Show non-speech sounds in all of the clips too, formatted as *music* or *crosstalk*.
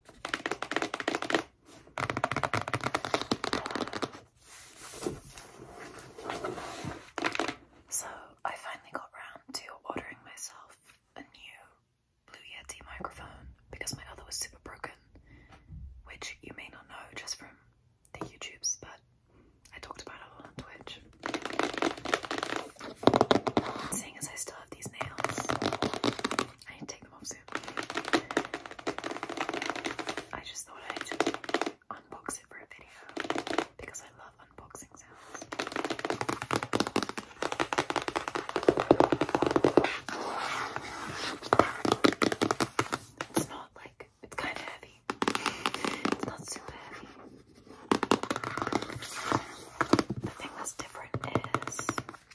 So, I finally got around to ordering myself a new Blue Yeti microphone because my other was super broken, which you may not know just from the YouTubes, but I talked about it on Twitch. Seeing as I still have these nails, I take them off soon. I just thought I'd unbox it for a video because I love unboxing sounds. It's not like it's kind of heavy. It's not super heavy. The thing that's different is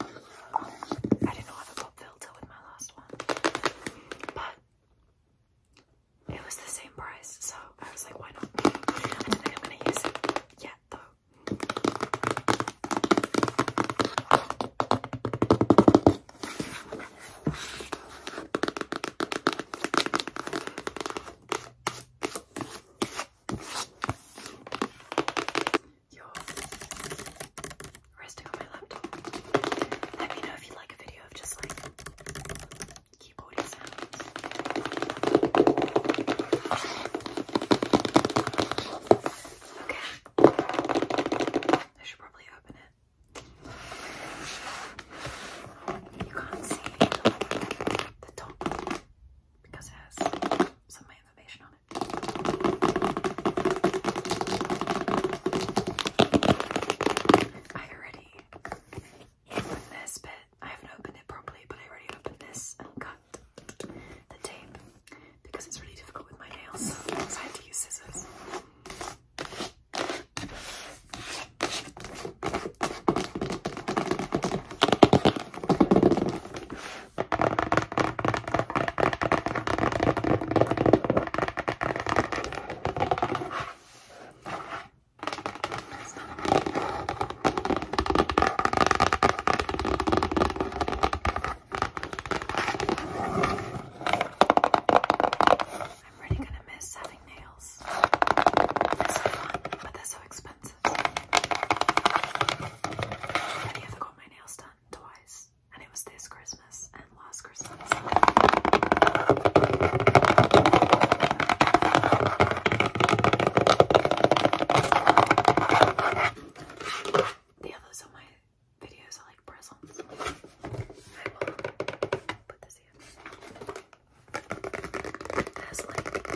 I didn't have a pop filter with my last one, but it was the same price, so I was like, why not? I don't think I'm gonna use it yet though resting on my laptop. Let me know if you like a video of just like keyboardy sounds. Okay. I should probably open it. You can't see the top because it has some information on it. I already opened this bit. I haven't opened it properly, but I already opened this and cut the tape because it's really difficult with my nails, so I had to use scissors. I'm really going to miss having nails sales. so fun, but they're so expensive. I've got my nails done twice, and it was this Christmas and last Christmas. The others on my videos are like presents. I will put this here as like um, to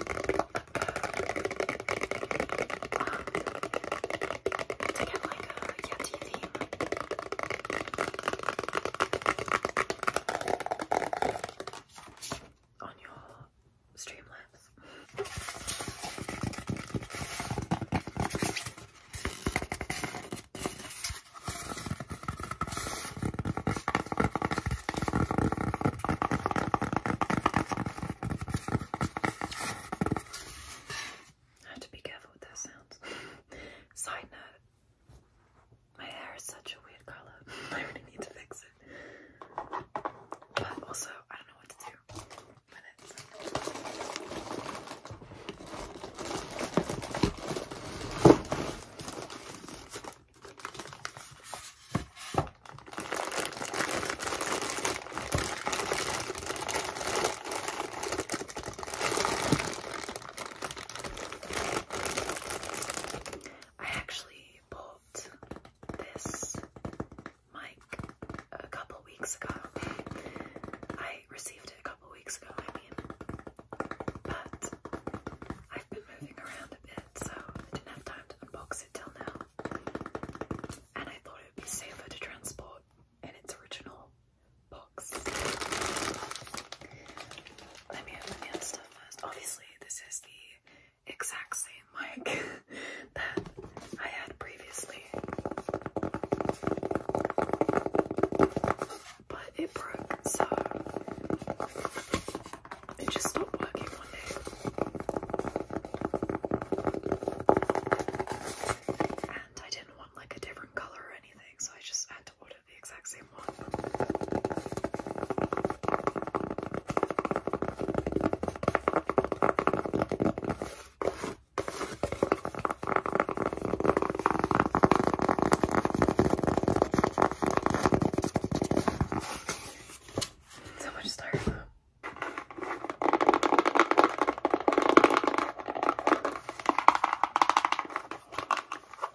get like a Yeti theme. On your streamlabs. I have to be careful with those sounds. *laughs* Side note, my hair is such a weird colour. *laughs* I really need to fix it. But also, I don't know what to do with I actually bought this mic a couple weeks ago. I received it a couple weeks ago, I mean. But I've been moving around a bit, so I didn't have time to unbox it till now. And I thought it would be safer to transport in its original box. Let me open the stuff first. Obviously, this is the exact same mic *laughs* that I had previously but it broke, so it just stopped working on day. And I didn't want like a different colour or anything, so I just had to order the exact same one. So much styrofoam.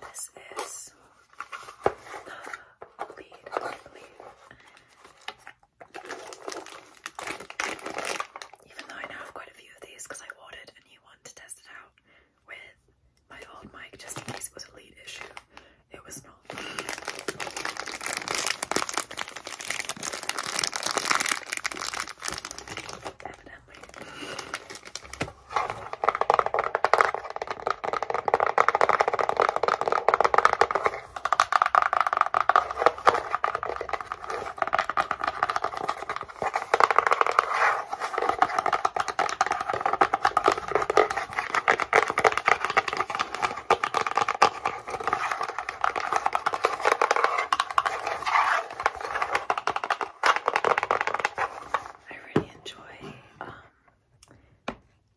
This is the lead, I believe even though I now have quite a few of these because I ordered a new one to test it out with my old mic just in case it was a lead issue. It was not. Evidently. I really enjoy um,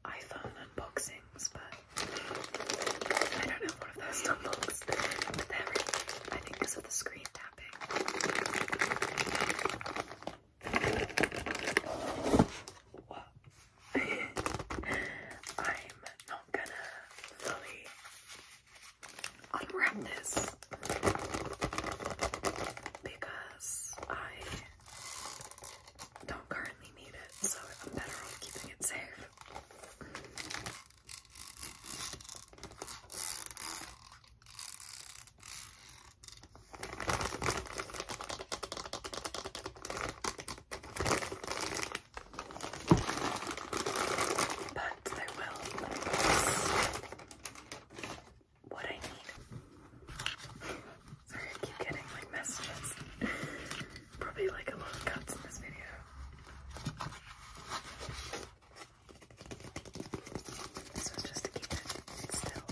iPhone unboxings, but I don't know what if that stuff but I think because of the screen tapping. I'm not gonna fully unwrap this because I don't currently need it, so I'm better off keeping it safe. But I will what I need. Sorry, I keep getting like messages. Probably like a lot of cuts in this video. This was just to keep it still.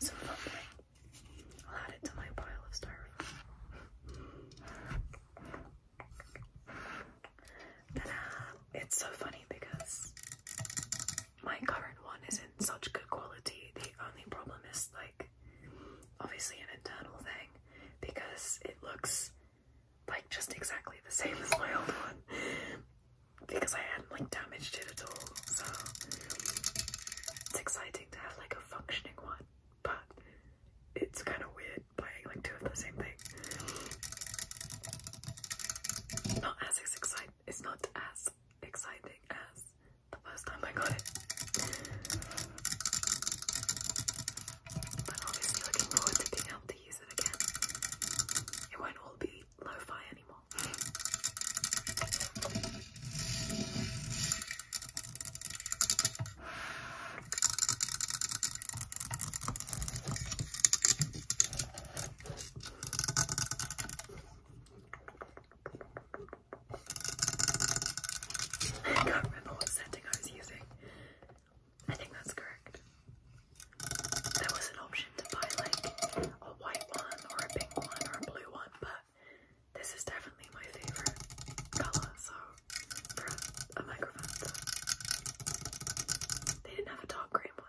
So lovely. I'll add it to my pile of styrofoam. It's so funny because my current one is in such good quality. The only problem is like obviously an internal thing because it looks like just exactly the same as my old one because I hadn't like damaged it at all. So it's exciting to have like a functioning one, but it's kind of weird buying like two of the same thing. Not as exciting. It's not as exciting as the first time I got it. But obviously looking forward to being able to use it again. It won't all be lo-fi anymore. I can't remember what setting I was using. I think that's correct. There was an option to buy like a white one or a pink one or a blue one, but this is definitely my favourite colour, so a, microphone. They didn't have a dark green one.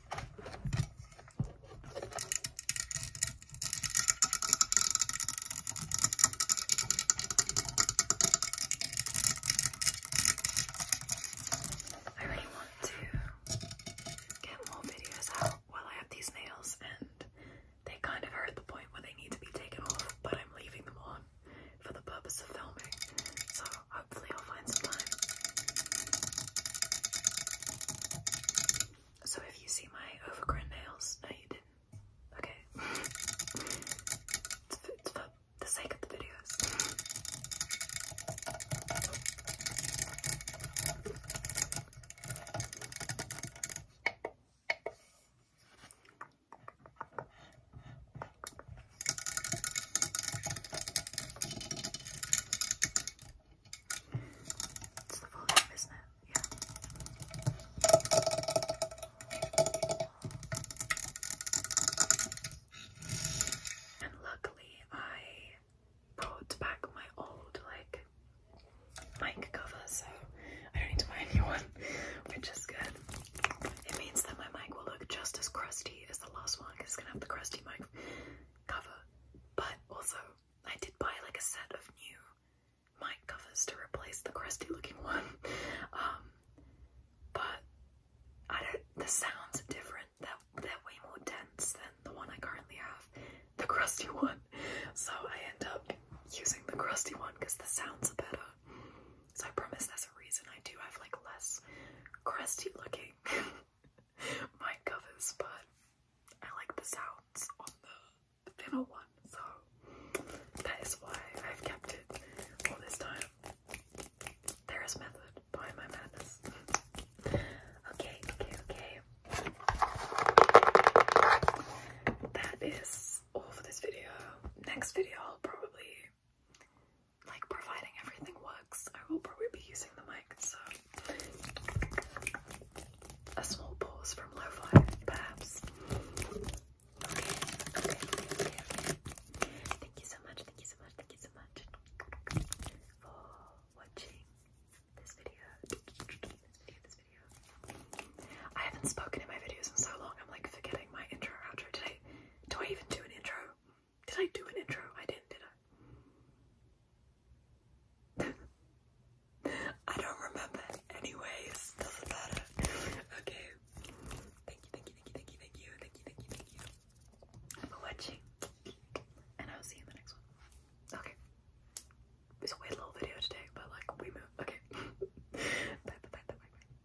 I really want to get more videos out while I have these nails and they kind of are at the point where they need to be taken off, but I'm leaving them on for the purpose of filming. So hopefully I'll I'll find some time. So if you see my overgrown nails, no you didn't. Okay. *laughs* it's, for, it's for the sake of the videos. It's the full isn't it? Yeah. And luckily, I brought back my old like mic cover, so I don't need to buy a new one, *laughs* which is good. It means that my mic will look just as crusty as the lost one because it's gonna have the crusty mic cover, but also I did buy like a set of new mic covers to replace the crusty looking *laughs* one. Um, but I don't, the sounds are different, they're, they're way more dense than the one I currently have, the crusty *laughs* one. So I end up using the crusty one because the sounds are better. So I promise there's a reason I do have like less crusty looking *laughs* my covers, but I like the sounds on the thinner one, so that is why I've kept it all this time. There is method behind my madness. okay, okay, okay. That is all for this video. Next video, probably like providing everything works, I will probably be using the mic, so a small pause from lo-fi, perhaps. Okay, okay, okay, Thank you so much, thank you so much, thank you so much for watching this video. This video, this video. I haven't spoken in my videos in so long, I'm like forgetting my intro or outro today. Do I even do an intro? Did I do an intro? I didn't, did I? *laughs* I don't remember. Anyways, Okay. Thank you, thank you, thank you, thank you, thank you, thank you, thank you, thank you for watching. And I'll see you in the next one. Okay. It's a weird little video today, but like we move. Okay. *laughs* bye, bye, bye, bye, bye.